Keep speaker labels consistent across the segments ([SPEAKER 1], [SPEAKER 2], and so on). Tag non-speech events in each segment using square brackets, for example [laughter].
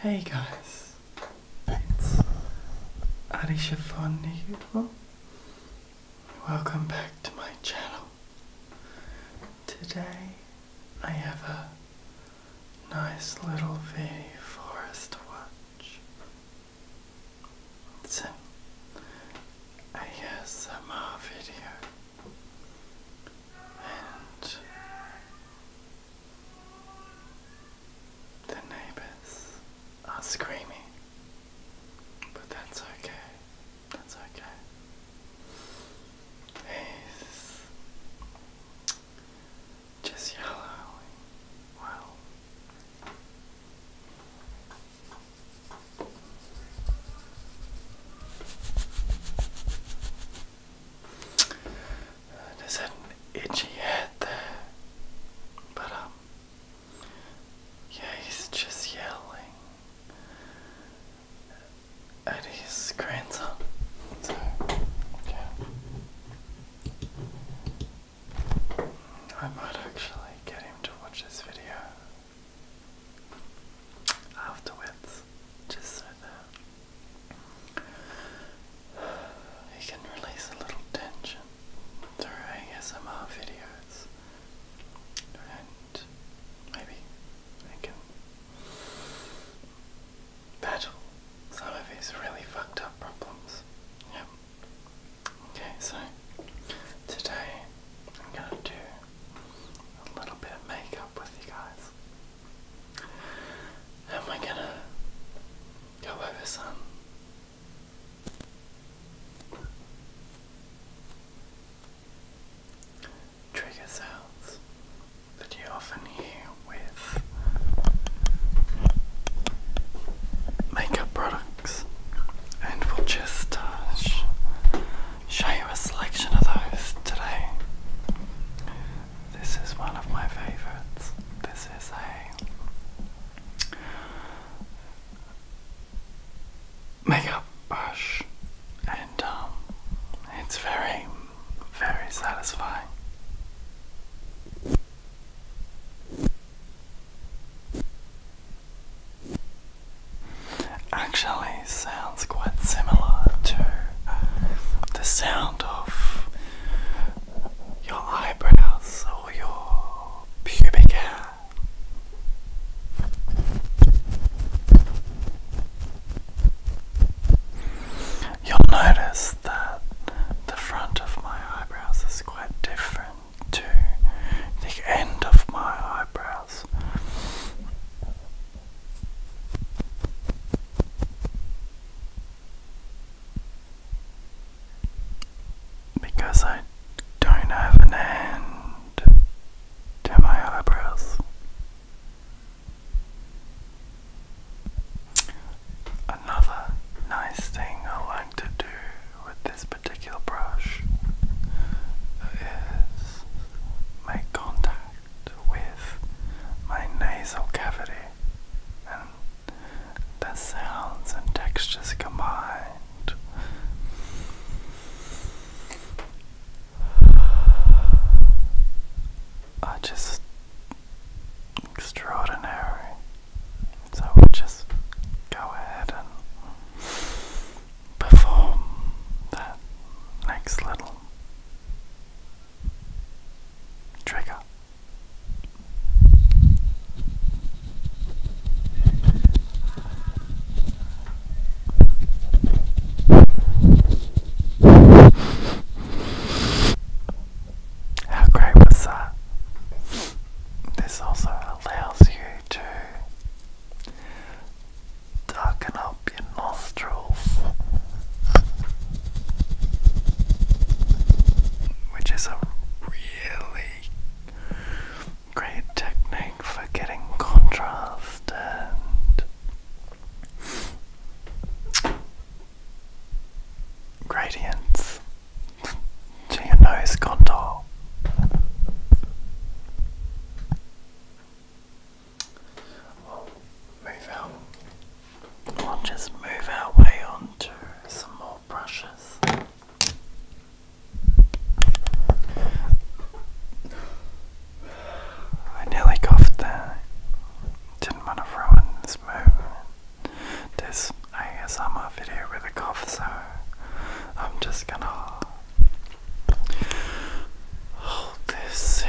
[SPEAKER 1] Hey guys, it's Arisha Fon here. Welcome back to my channel. Today I have a nice little video Forest watch. It's an ASMR video. The neighbors are screaming, but that's okay. That's okay. He's just yellow. Well. There's that itchy head there. But, um, yeah, he's just yelling at his grandson. I might actually get him to watch this video afterwards, just so that you can release a little tension through ASMR videos and maybe I can battle some of his really fucked up problems. Yep. Okay, so today I'm gonna do a little bit of makeup with you guys. Am I gonna go over some? Trigger sounds that you often hear with makeup products, and we'll just touch show you a selection of those today. This is one of my favourites. This is a makeup brush, and um, it's very, very satisfying actually sounds quite similar to uh, the sound of your eyebrows or your pubic hair. You'll notice that the front of my eyebrows is quite different to the end of my eyebrows. Because I don't have an end to my eyebrows. Another nice thing I like to do with this particular brush is make contact with my nasal cavity, and the sounds and textures combined. Are just extraordinary. So we'll just go ahead and perform that next little trigger. How great was that? This also allows you to darken up your nostrils, which is a really great technique for getting contrast and gradients to your nose contour we move out. We'll just move our way on some more brushes. I nearly coughed there. Didn't want to ruin this movement. This ASMR video with a cough, so I'm just gonna Hold this in. [sighs]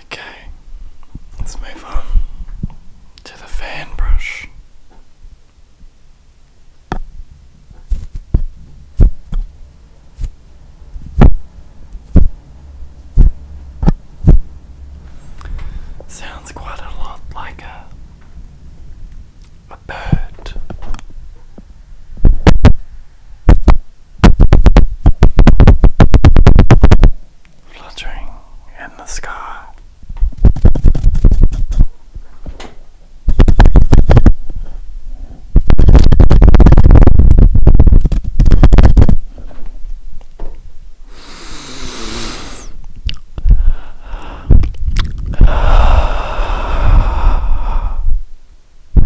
[SPEAKER 1] okay, let's move on to the fan brush. Sounds quite a lot like a a bird. Fluttering in the sky.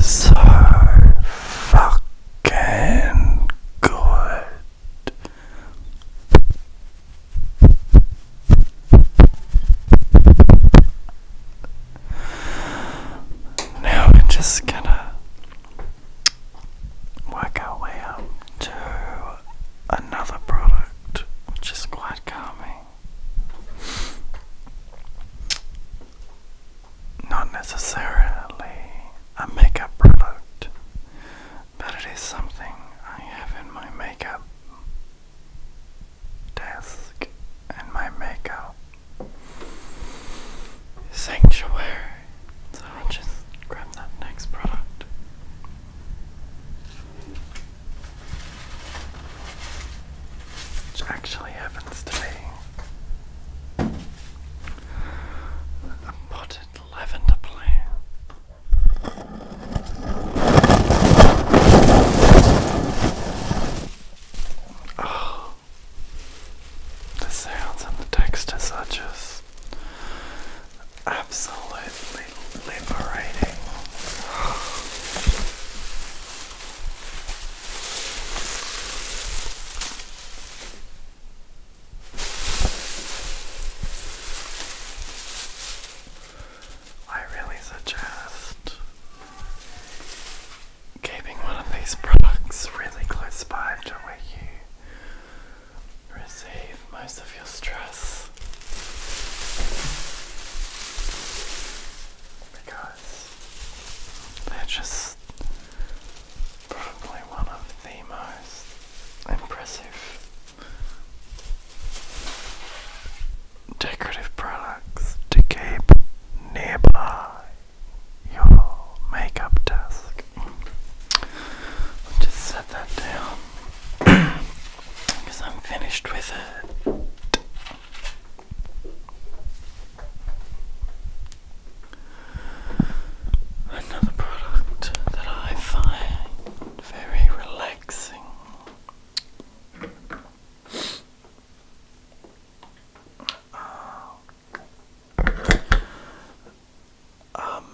[SPEAKER 1] So fucking good. Now we're just gonna work our way up to another product which is quite calming. Not necessarily a makeup product, but it is something I have in my makeup desk and my makeup sanctuary. So i just grab that next product. Which actually happens to be a potted lavender plant. Oh, the sounds and the textures are just absolutely liberating. I really suggest keeping one of these products really close by to where you receive most of your stress. Because they're just probably one of the most impressive Decorative products to keep nearby your makeup desk. just set that down because [clears throat] I'm finished with it. Another product that I find very relaxing relaxing. Ah.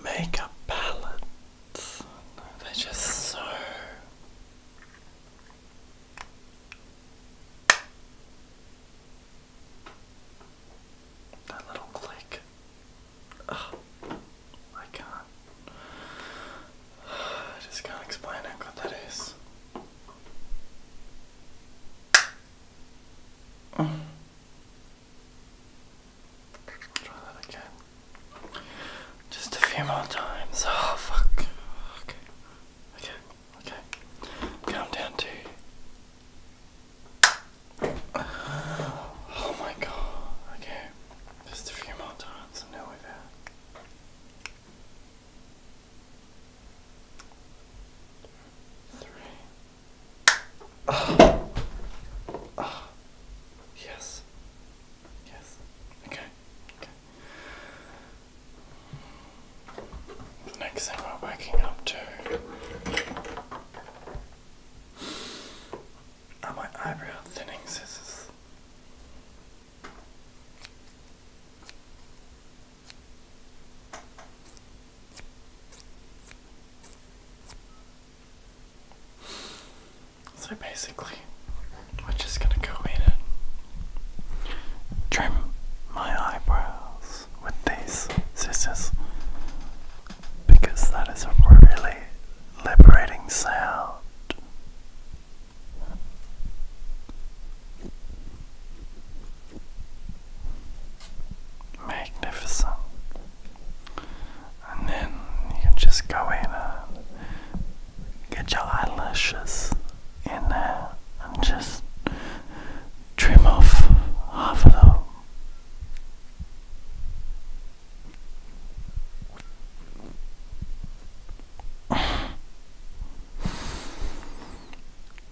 [SPEAKER 1] makeup palettes, they're just so. That little click. Ugh, oh, I can [sighs] I just can't explain how good that is. [sighs] Try that again. Just a few more times. Oh, fuck. Okay. Okay. Okay. Count down Oh my god. Okay. Just a few more times and now we Three. Yes. Yes. Okay. Okay. next thing we're waking up to are oh, my eyebrow thinning scissors. So basically, I'm just gonna go in and trim my eyebrows with these scissors because that is a really liberating sound. Magnificent. And then you can just go in and get your eyelashes in there and just trim off half of them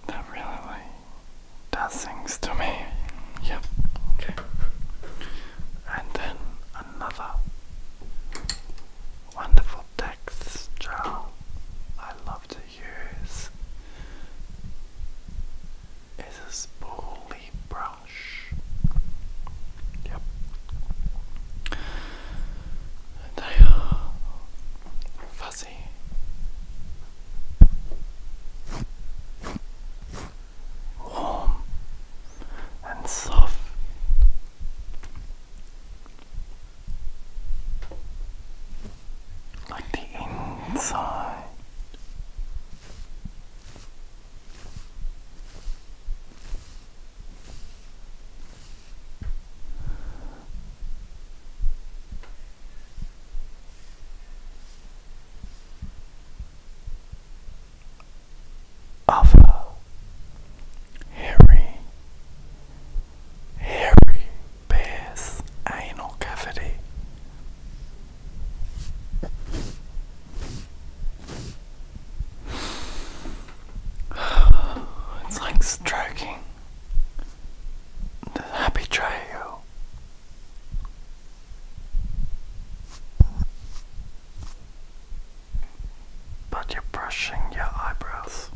[SPEAKER 1] that really does things to me. Yep. Okay. And then another wonderful text gel I love to use. It's a spooly brush. Yep. They uh, are fuzzy. Warm and soft. Like the inside Alpha hairy hairy bear's anal cavity [sighs] It's like stroking the happy trail. But you're brushing your eyebrows.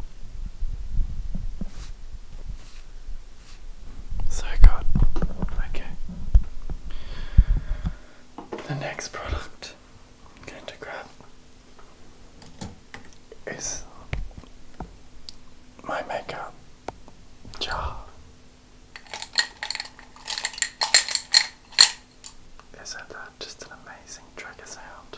[SPEAKER 1] So good. Okay. The next product I'm going to grab is my makeup jar. Isn't that uh, just an amazing trigger sound?